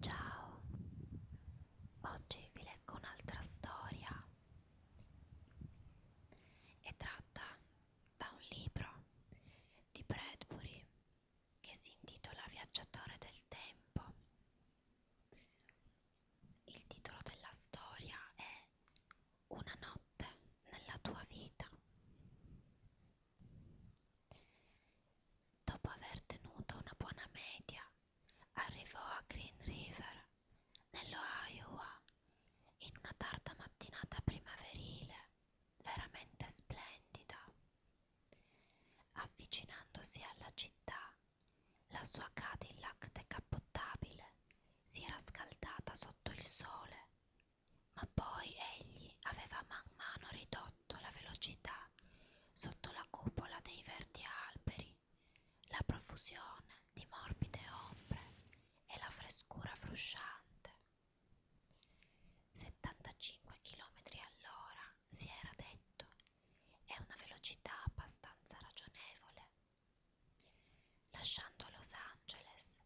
Ciao, oggi vi leggo un'altra storia e tratta da un libro di Bradbury che si intitola Viaggiatore del tempo. Il titolo della storia è Una notte nella tua vita. Dopo aver tenuto una buona media, arrivò a Green River, nello Iowa, in una tarda mattinata primaverile, veramente splendida. Avvicinandosi alla città, la sua Cadillac decappottabile si era scaldata sotto il sole ma poi egli aveva man mano ridotto la velocità sotto la cupola dei verdi alberi, la profusione di morbide ombre e la frescura frusciante. 75 km all'ora, si era detto, è una velocità abbastanza ragionevole. Lasciando Los Angeles,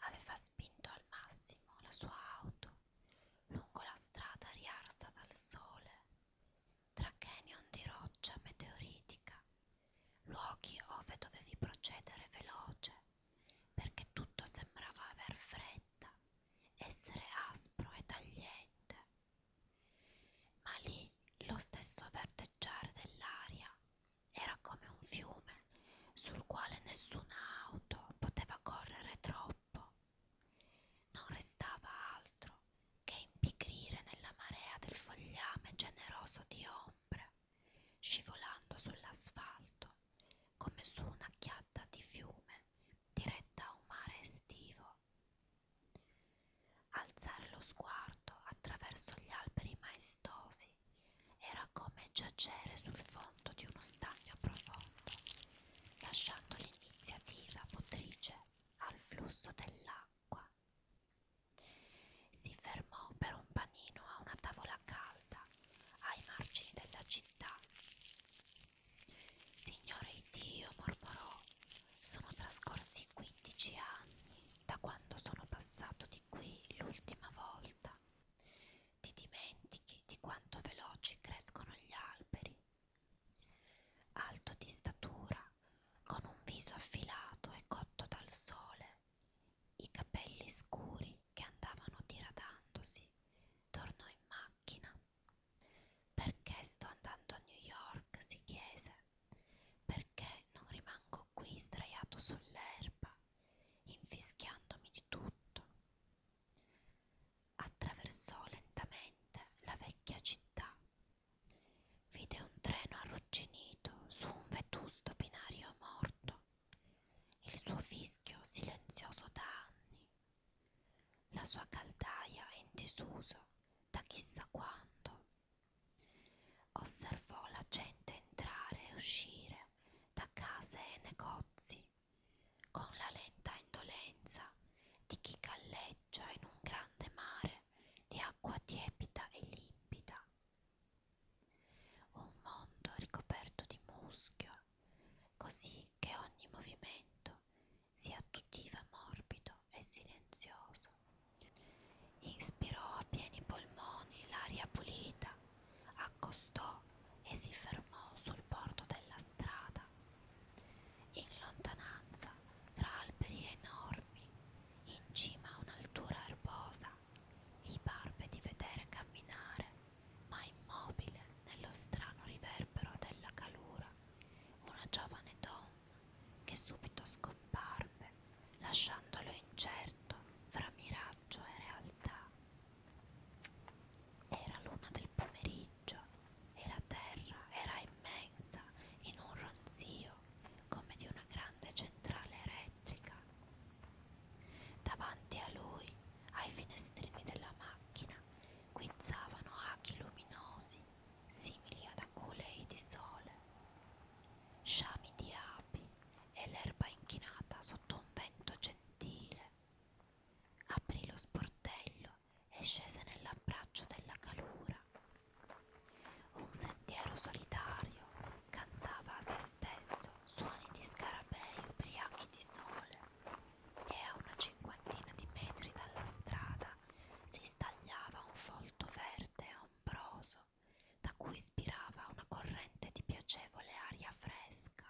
aveva spinto al massimo la sua auto lungo la strada riarsa dal sole, tra canyon di roccia meteoritica, luoghi ove dovevi procedere veloce, perché tutto sembrava aver fretta, essere aspro e tagliente. Ma lì lo stesso verdeggiare dell'aria era come un fiume sul quale nessuna auto poteva correre troppo. Non restava altro che impigrire nella marea del fogliame generoso di ombre, scivolando sull'asfalto come su una chiatta di fiume diretta a un mare estivo. Alzare lo sguardo attraverso gli alberi maestosi era come giacere sul fondo di uno stagno profondo, lasciando l'iniziativa motrice al flusso dell'acqua. Si fermò per un panino a una tavola calda ai margini della città. Signore Dio, mormorò, sono trascorsi quindici anni da quando sono passato di qui l'ultima volta. Ti dimentichi di quanto veloci crescono gli alberi. Alto di statura, con un viso affilato e cotto dal sole, i capelli scuri che andavano diradandosi, tornò in macchina. Perché sto andando a New York? si chiese perché non rimango qui sdraiato sull'erba, infischiandomi di tutto. Attraversò lentamente la vecchia città. Vide un treno arrugginito su un vetusto binario morto. Il suo fischio silenzioso da anni. La sua caldaia in disuso da chissà quando. Osservò la gente entrare e uscire da case e negozi, con la lenta indolenza di chi galleggia in un grande mare di acqua tiepida e limpida. Un mondo ricoperto di muschio, così che ogni movimento sia attutiva morbido e silenzioso naso. Inspirò a pieni polmoni l'aria pulita, accostò e si fermò sul bordo della strada. In lontananza, tra alberi enormi, in cima a un'altura erbosa, gli parve di vedere camminare, ma immobile nello strano riverbero della calura, una giovane donna che subito scomparve, lasciandolo incerto fra miraggio e realtà. Era l'una del pomeriggio e la terra era immensa in un ronzio come di una grande centrale elettrica. Davanti a lui, ai finestrini della macchina, guizzavano aghi luminosi simili ad aculei di sole, sciami di api e l'erba inchinata sotto un vento gentile. Aprì lo sportello e scese nell'abbraccio della calura. Un sentiero solitario cantava a se stesso suoni di scarabei ubriachi di sole e a una cinquantina di metri dalla strada si ristagliava un folto verde e ombroso, da cui ispirava una corrente di piacevole aria fresca.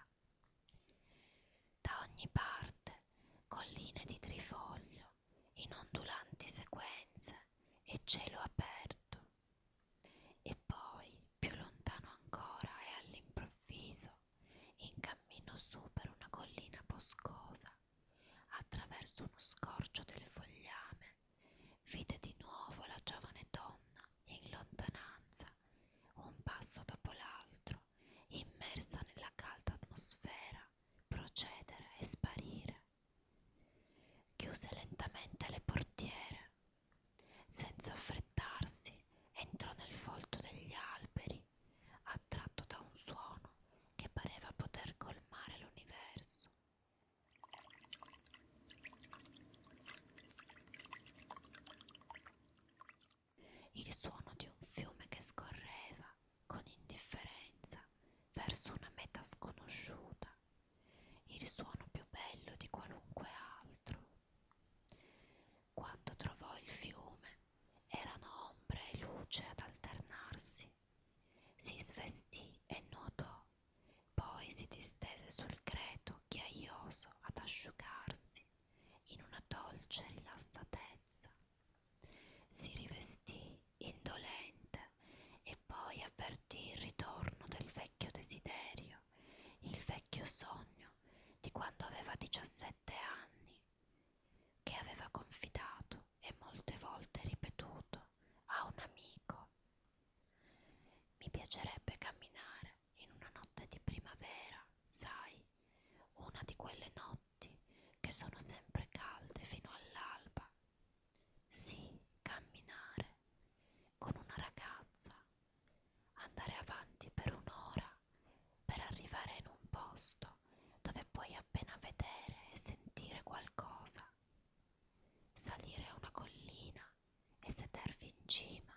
Da ogni parte colline di trifoglio, in ondulanti sequenze e cielo aperto. E poi, più lontano ancora e all'improvviso, in cammino su per una collina boscosa, attraverso uno scorcio del fogliame, vide di nuovo la giovane donna in lontananza, un passo dopo l'altro, immersa nella calda atmosfera, procedere e sparire. Chiuse lentamente le portiere. Senza affrettarsi, entrò nel folto degli alberi attratto da un suono che pareva poter colmare l'universo. Il suono di un fiume che scorreva con indifferenza verso una meta sconosciuta, il suono più bello di qualunque altro. Quando trovò il fiume, erano ombre e luce ad alternarsi. Si svestì e nuotò, poi si distese sul greto ghiaioso ad asciugarsi in una dolce rilassatezza. Si rivestì indolente e poi avvertì il ritorno del vecchio desiderio, il vecchio sogno di quando aveva diciassette anni che aveva confidato e molte volte ripetuto a un amico. Mi piacerebbe camminare in una notte di primavera, sai, una di quelle notti che sono sempre calde fino all'alba. Sì, camminare con una ragazza, andare avanti per un'ora per arrivare in un posto dove puoi appena vedere e sentire qualcosa, salire a una collina e sedervi in cima,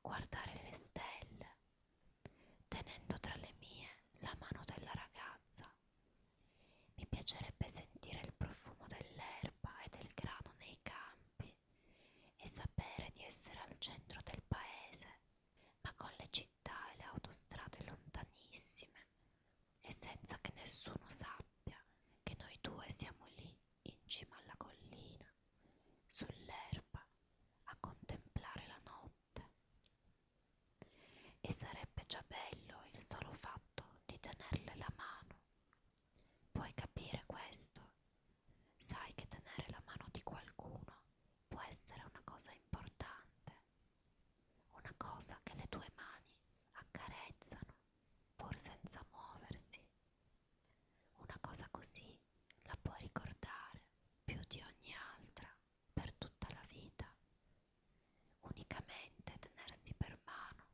guardare le stelle, tenendo tra le mie la mano della ragazza. Mi piacerebbe sentire il profumo dell'erba e del grano nei campi e sapere di essere al centro del paese ma con le città e le autostrade lontanissime e senza che nessuno sappia che noi due siamo lì in cima alla collina, sull'erba, a contemplare la notte. E sarebbe già bello il solo fatto di tenerle la mano. Puoi capire questo Sai che tenere la mano di qualcuno può essere una cosa importante, una cosa che le tue mani accarezzano pur senza muoversi. Una cosa così la puoi ricordare più di ogni altra per tutta la vita. Unicamente tenersi per mano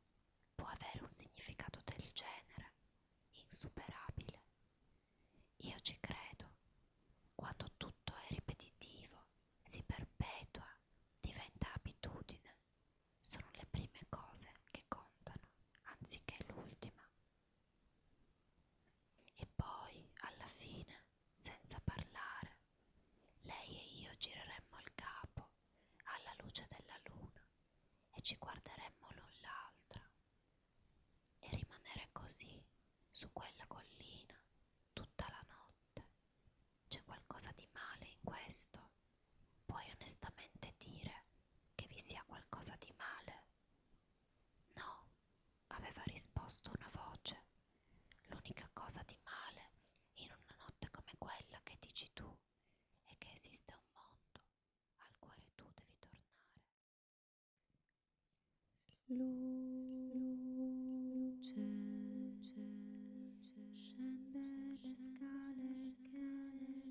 può avere un significato del genere, insuperabile, io ci credo. Quando tutto è ripetitivo, si perpetua, diventa abitudine. Sono le prime cose che contano, anziché l'ultima. E poi, alla fine, senza parlare, lei e io gireremmo il capo alla luce della luna e ci guarderemmo l'un l'altra e rimanere così su quella collina tutta la notte. C'è qualcosa di male in questo? Puoi onestamente dire che vi sia qualcosa di male? No, aveva risposto una voce. L'unica cosa di male in una notte come quella che dici tu è che esiste un mondo al cuore tu devi tornare. Luce, luce, luce scende le scale, le scale, scale,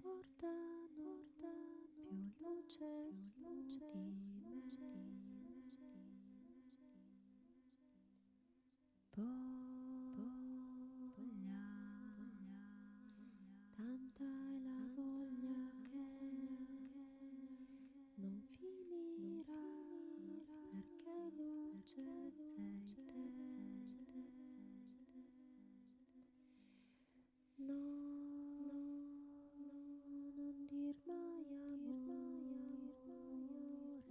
portano, portano più luce, luce, luce, luce. po, po, voglia, voglia, tanta è la tanta voglia che non finirà, non finirà perché luce perché sei luce te. Sei te, sei te, sei te. No